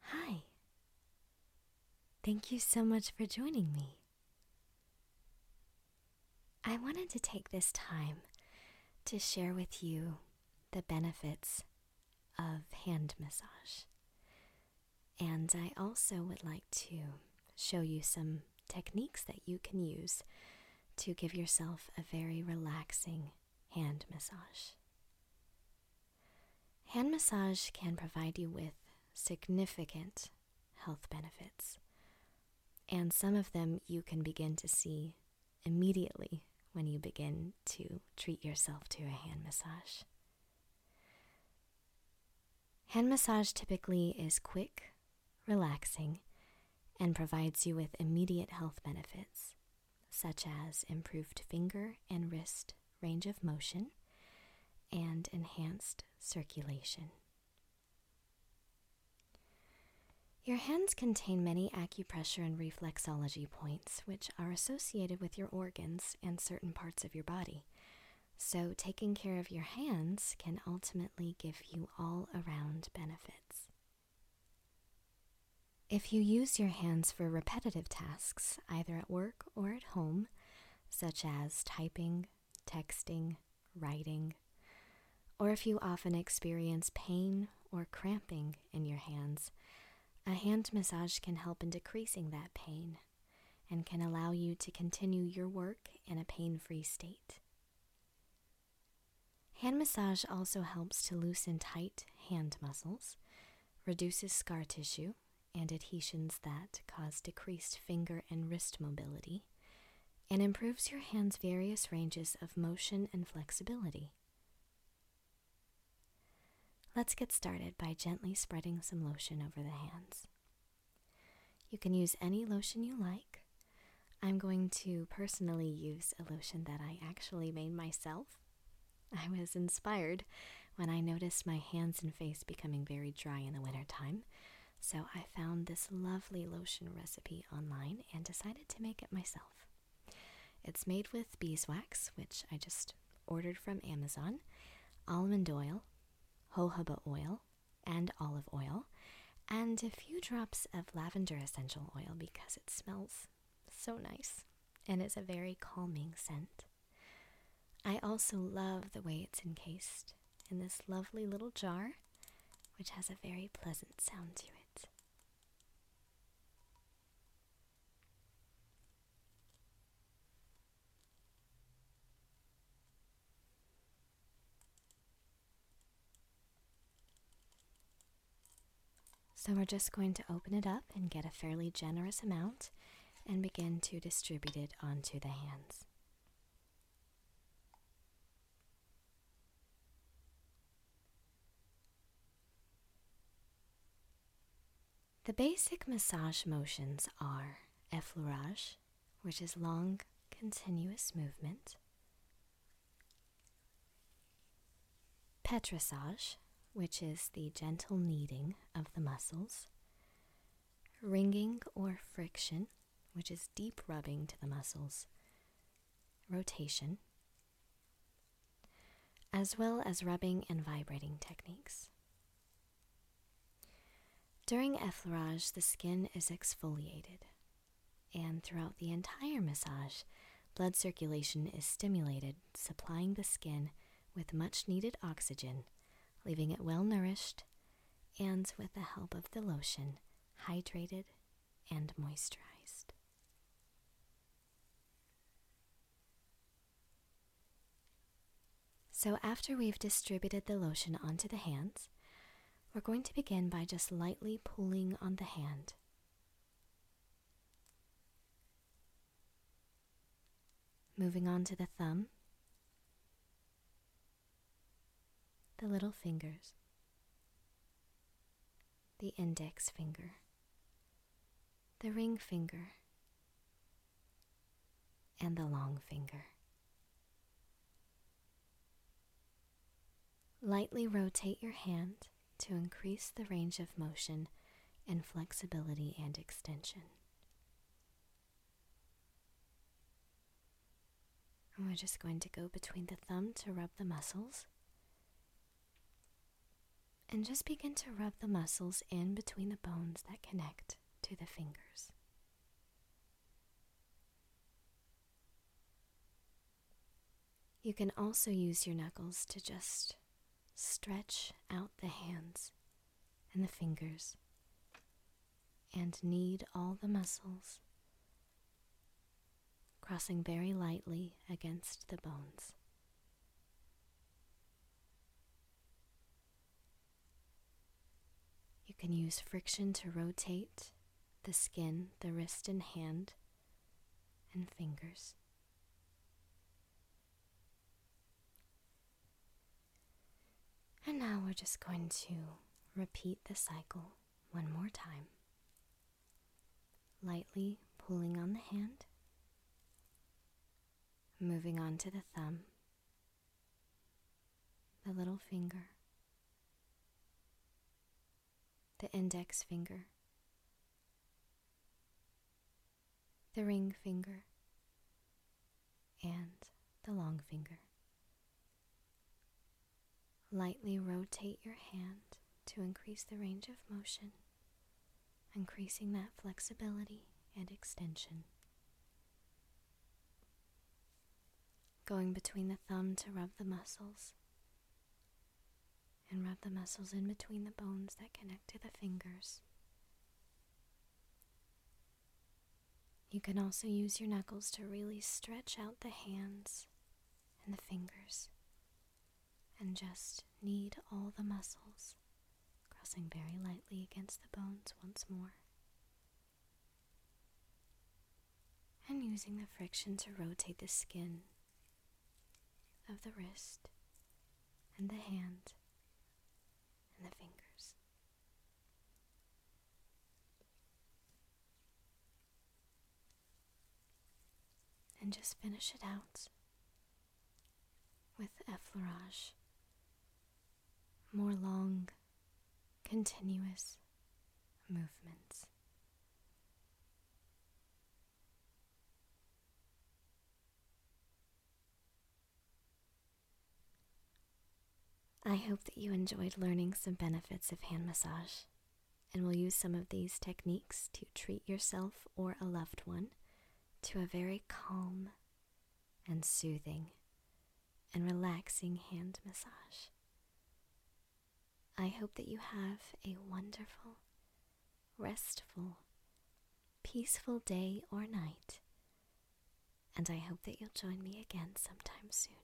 Hi. Thank you so much for joining me. I wanted to take this time to share with you the benefits of hand massage. And I also would like to show you some techniques that you can use to give yourself a very relaxing hand massage. Hand massage can provide you with significant health benefits, and some of them you can begin to see immediately when you begin to treat yourself to a hand massage. Hand massage typically is quick relaxing, and provides you with immediate health benefits, such as improved finger and wrist range of motion and enhanced circulation. Your hands contain many acupressure and reflexology points, which are associated with your organs and certain parts of your body. So, taking care of your hands can ultimately give you all around benefit. If you use your hands for repetitive tasks, either at work or at home, such as typing, texting, writing, or if you often experience pain or cramping in your hands, a hand massage can help in decreasing that pain and can allow you to continue your work in a pain free state. Hand massage also helps to loosen tight hand muscles, reduces scar tissue and adhesions that cause decreased finger and wrist mobility, and improves your hand's various ranges of motion and flexibility. Let's get started by gently spreading some lotion over the hands. You can use any lotion you like. I'm going to personally use a lotion that I actually made myself. I was inspired when I noticed my hands and face becoming very dry in the wintertime, so I found this lovely lotion recipe online and decided to make it myself. It's made with beeswax, which I just ordered from Amazon, almond oil, jojoba oil, and olive oil, and a few drops of lavender essential oil because it smells so nice and is a very calming scent. I also love the way it's encased in this lovely little jar, which has a very pleasant sound to it. So we're just going to open it up and get a fairly generous amount and begin to distribute it onto the hands. The basic massage motions are effleurage, which is long, continuous movement. Petrissage, which is the gentle kneading of the muscles. Ringing or friction, which is deep rubbing to the muscles. Rotation. As well as rubbing and vibrating techniques. During effleurage, the skin is exfoliated, and throughout the entire massage, blood circulation is stimulated, supplying the skin with much needed oxygen, leaving it well nourished, and with the help of the lotion, hydrated and moisturized. So after we've distributed the lotion onto the hands, we're going to begin by just lightly pulling on the hand. Moving on to the thumb, the little fingers, the index finger, the ring finger, and the long finger. Lightly rotate your hand to increase the range of motion and flexibility and extension. we're just going to go between the thumb to rub the muscles. And just begin to rub the muscles in between the bones that connect to the fingers. You can also use your knuckles to just stretch out the hands and the fingers and knead all the muscles, crossing very lightly against the bones. You can use friction to rotate the skin, the wrist and hand, and fingers. And now we're just going to repeat the cycle one more time. Lightly pulling on the hand, moving on to the thumb the little finger, the index finger, the ring finger, and the long finger. Lightly rotate your hand to increase the range of motion increasing that flexibility and extension. Going between the thumb to rub the muscles, and rub the muscles in between the bones that connect to the fingers. You can also use your knuckles to really stretch out the hands and the fingers and just knead all the muscles Crossing very lightly against the bones once more. And using the friction to rotate the skin of the wrist and the hand and the fingers. And just finish it out with effleurage, more long, continuous movements. I hope that you enjoyed learning some benefits of hand massage and will use some of these techniques to treat yourself or a loved one to a very calm and soothing and relaxing hand massage. I hope that you have a wonderful, restful, peaceful day or night, and I hope that you'll join me again sometime soon.